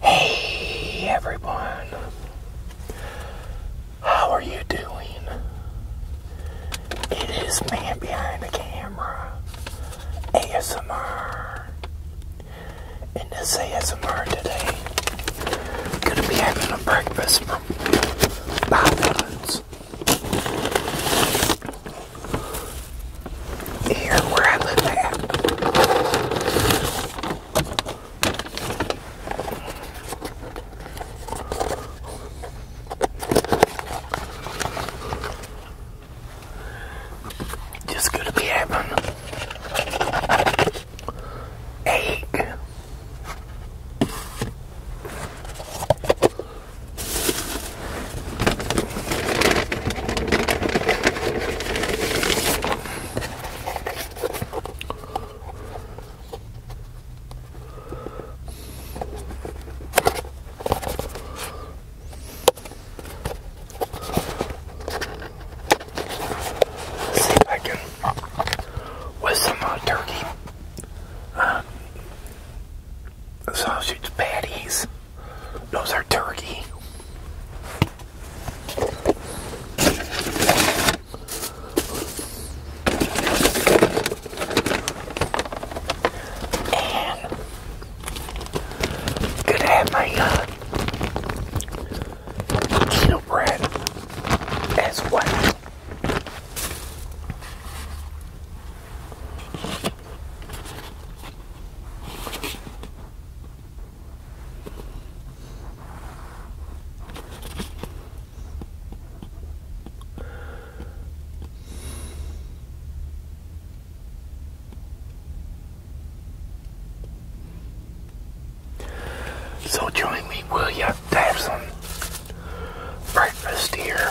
Hey everyone, how are you doing? It is man behind the camera, ASMR. and this ASMR today, I'm gonna be having a breakfast from Bob Evans here where I live at. Just gonna be having egg See if I can, with some uh, turkey uh, sausage patties. Those are turkey. And could have my uh, bread as well. So join me, will ya, have some breakfast here.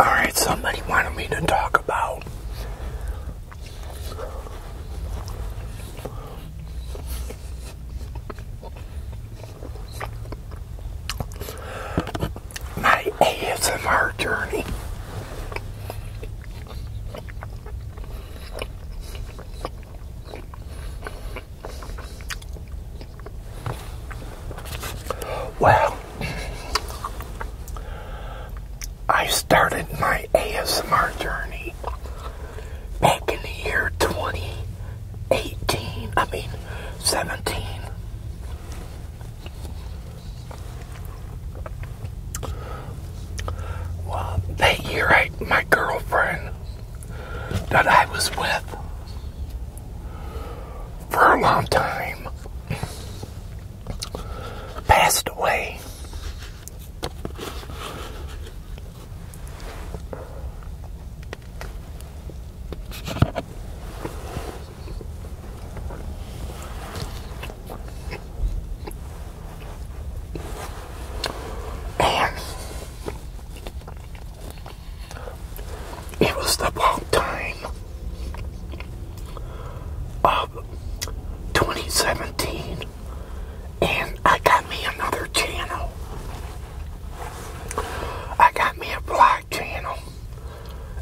All right, somebody wanted me to talk about my ASMR journey. Well, I started my ASMR journey back in the year 2018, I mean 17. that year, my girlfriend that I was with for a long time passed away. And it was the wrong time of 2017 and I got me another channel. I got me a vlog channel,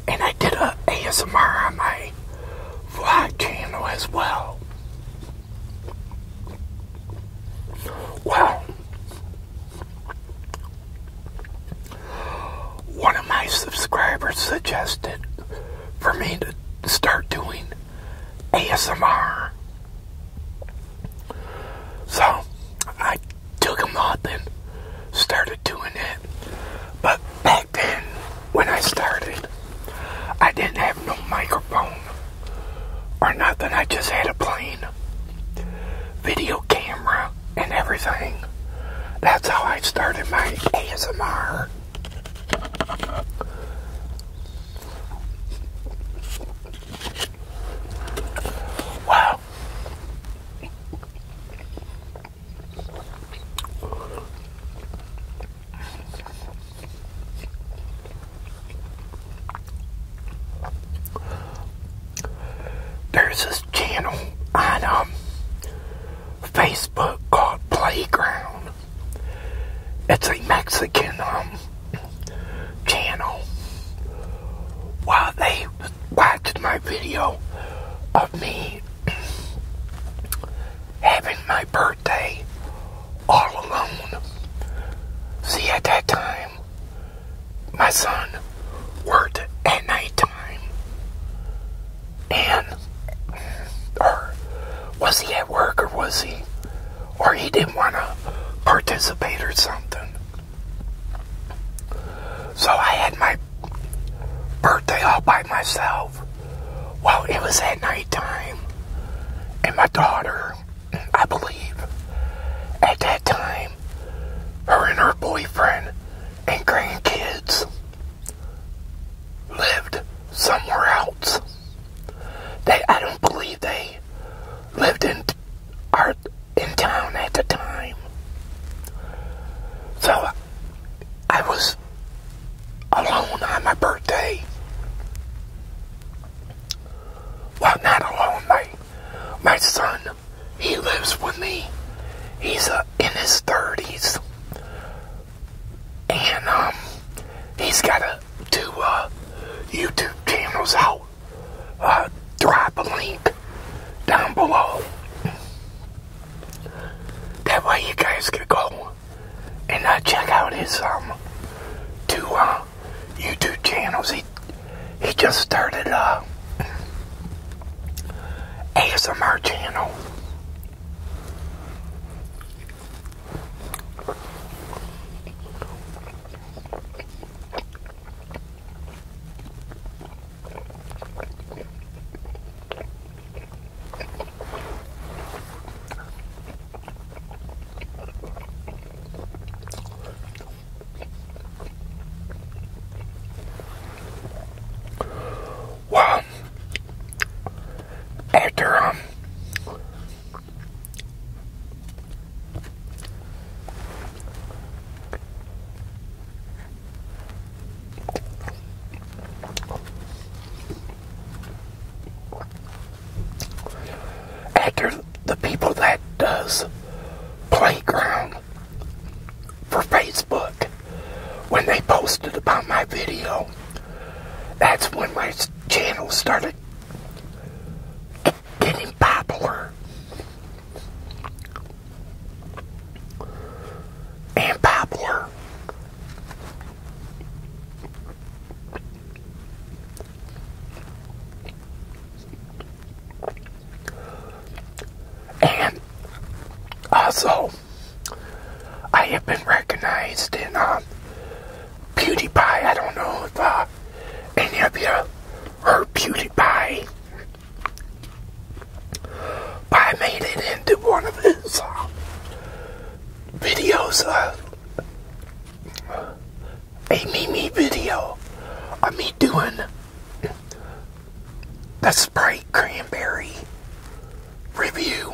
and I did a ASMR on my vlog channel as well. Well, one of my subscribers suggested for me to start doing ASMR. So I took them up and started doing it. But back then, when I started, I didn't have no microphone or nothing. I just had a plain video camera and everything. That's how I started my ASMR. Wow. There's this channel on um, Facebook called Playground. It's a Mexican um, channel while they watched my video of me having my birthday all alone. See, at that time, my son worked at night time, and or was he at work or was he or he didn't want to participate or something. So I had my birthday all by myself. Well, it was at nighttime, and my daughter, I believe, at that time, her and her boyfriend and grandkids lived somewhere else. They, I don't believe they lived in are in town at the time. So I was alone on my birthday. Well, not alone. My my son, he lives with me. He's uh, in his thirties, and um, he's got a two uh, YouTube channels out. Uh, drop a link down below. That way you guys can go and uh, check out his um, two uh, YouTube channels. He, he just started a ASMR channel. Well, after um, after the people that does playground for Facebook, when they posted about my video, that's when my channel started getting popular. And popular. And also, I have been recognized in um, PewDiePie. I don't know if uh, any of you heard PewDiePie. But I made it into one of his uh, videos, uh, a Mimi video of me doing the Sprite Cranberry review.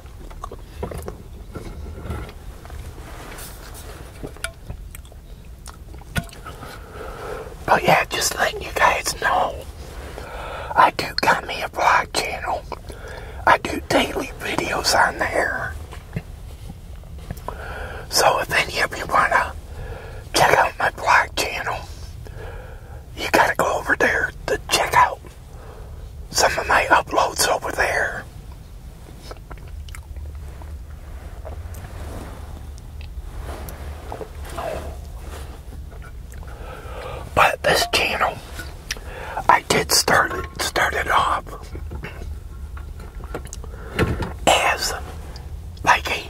But yeah, just letting you guys know, I do got me a vlog channel. I do daily videos on there. So if any of you want to check out my vlog channel, you got to go over there to check out some of my uploads over there. But this channel, I did start it, start off as like a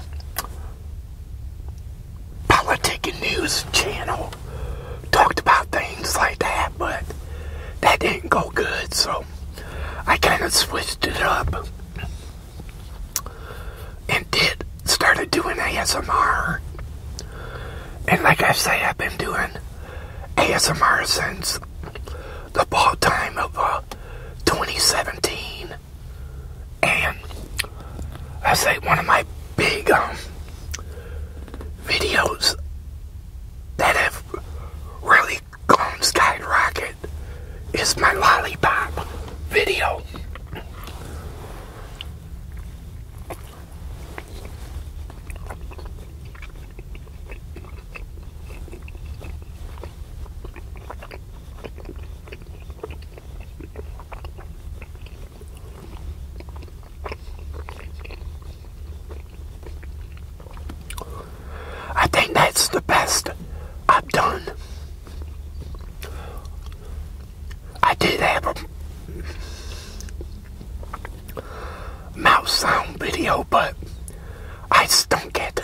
political news channel talked about things like that, but that didn't go good, so I kind of switched it up and did started doing ASMR. And like I say, I've been doing ASMR since the ball time of uh, 2017. And I say one of my big um, videos that have really gone skyrocket is my lollipop video. I think that's the best I've done. I did have a mouse sound video, but I stunk it.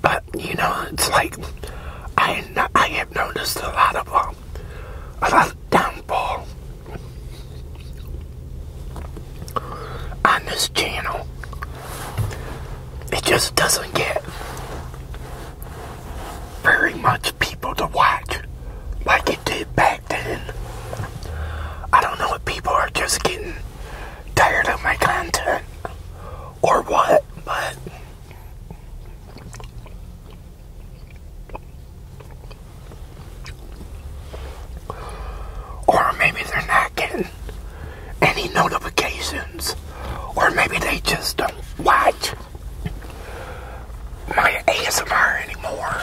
But you know, it's like I I have noticed a lot of um, a lot of downfall on this channel. It just doesn't get very much people to watch like it did back then. I don't know if people are just getting tired of my content or what, but or maybe they're not getting any notifications. Or maybe they just don't watch my ASMR anymore.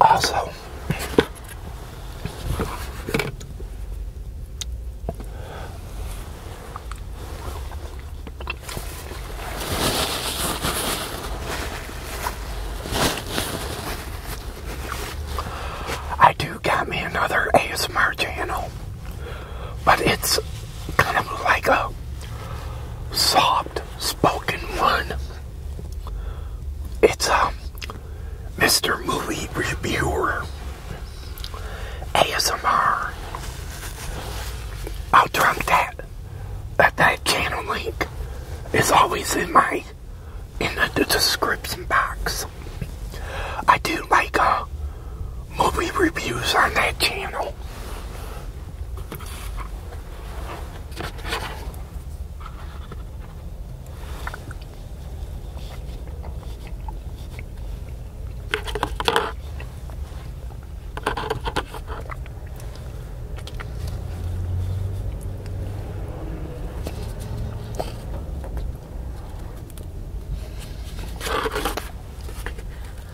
Also, I do got me another ASMR channel but it's kind of like a soft spoken one. It's a um, Mr. Movie Reviewer ASMR. I'll drop that that that channel link is always in my in the, description box. I do like a. Uh, movie reviews on that channel.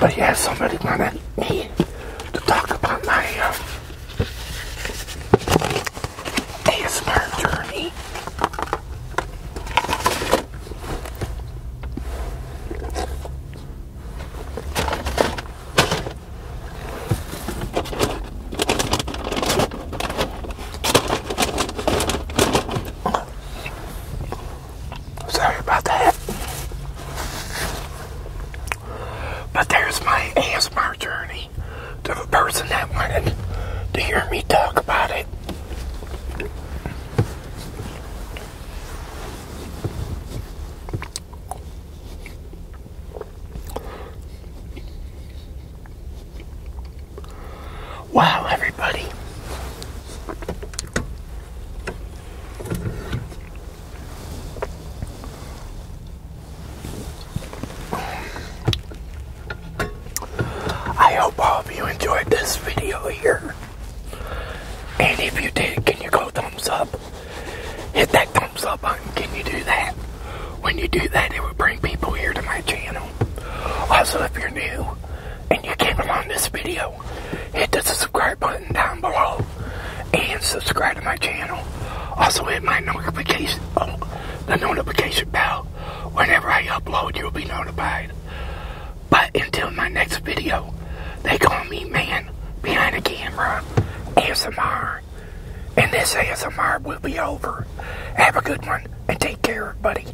But yeah, somebody wanted me to talk about my uh, journey. Sorry about that. But there's my ASMR journey to the person that wanted to hear me talk about it. Wow, everybody. I hope all of you enjoyed this video here. And if you did, can you go thumbs up? Hit that thumbs up button. Can you do that? When you do that, it will bring people here to my channel. Also, if you're new, and you came along this video, hit the subscribe button down below and subscribe to my channel. Also hit my notification, oh, the notification bell. Whenever I upload, you'll be notified. But until my next video, they call me man behind the camera, ASMR. And this ASMR will be over. Have a good one and take care, buddy.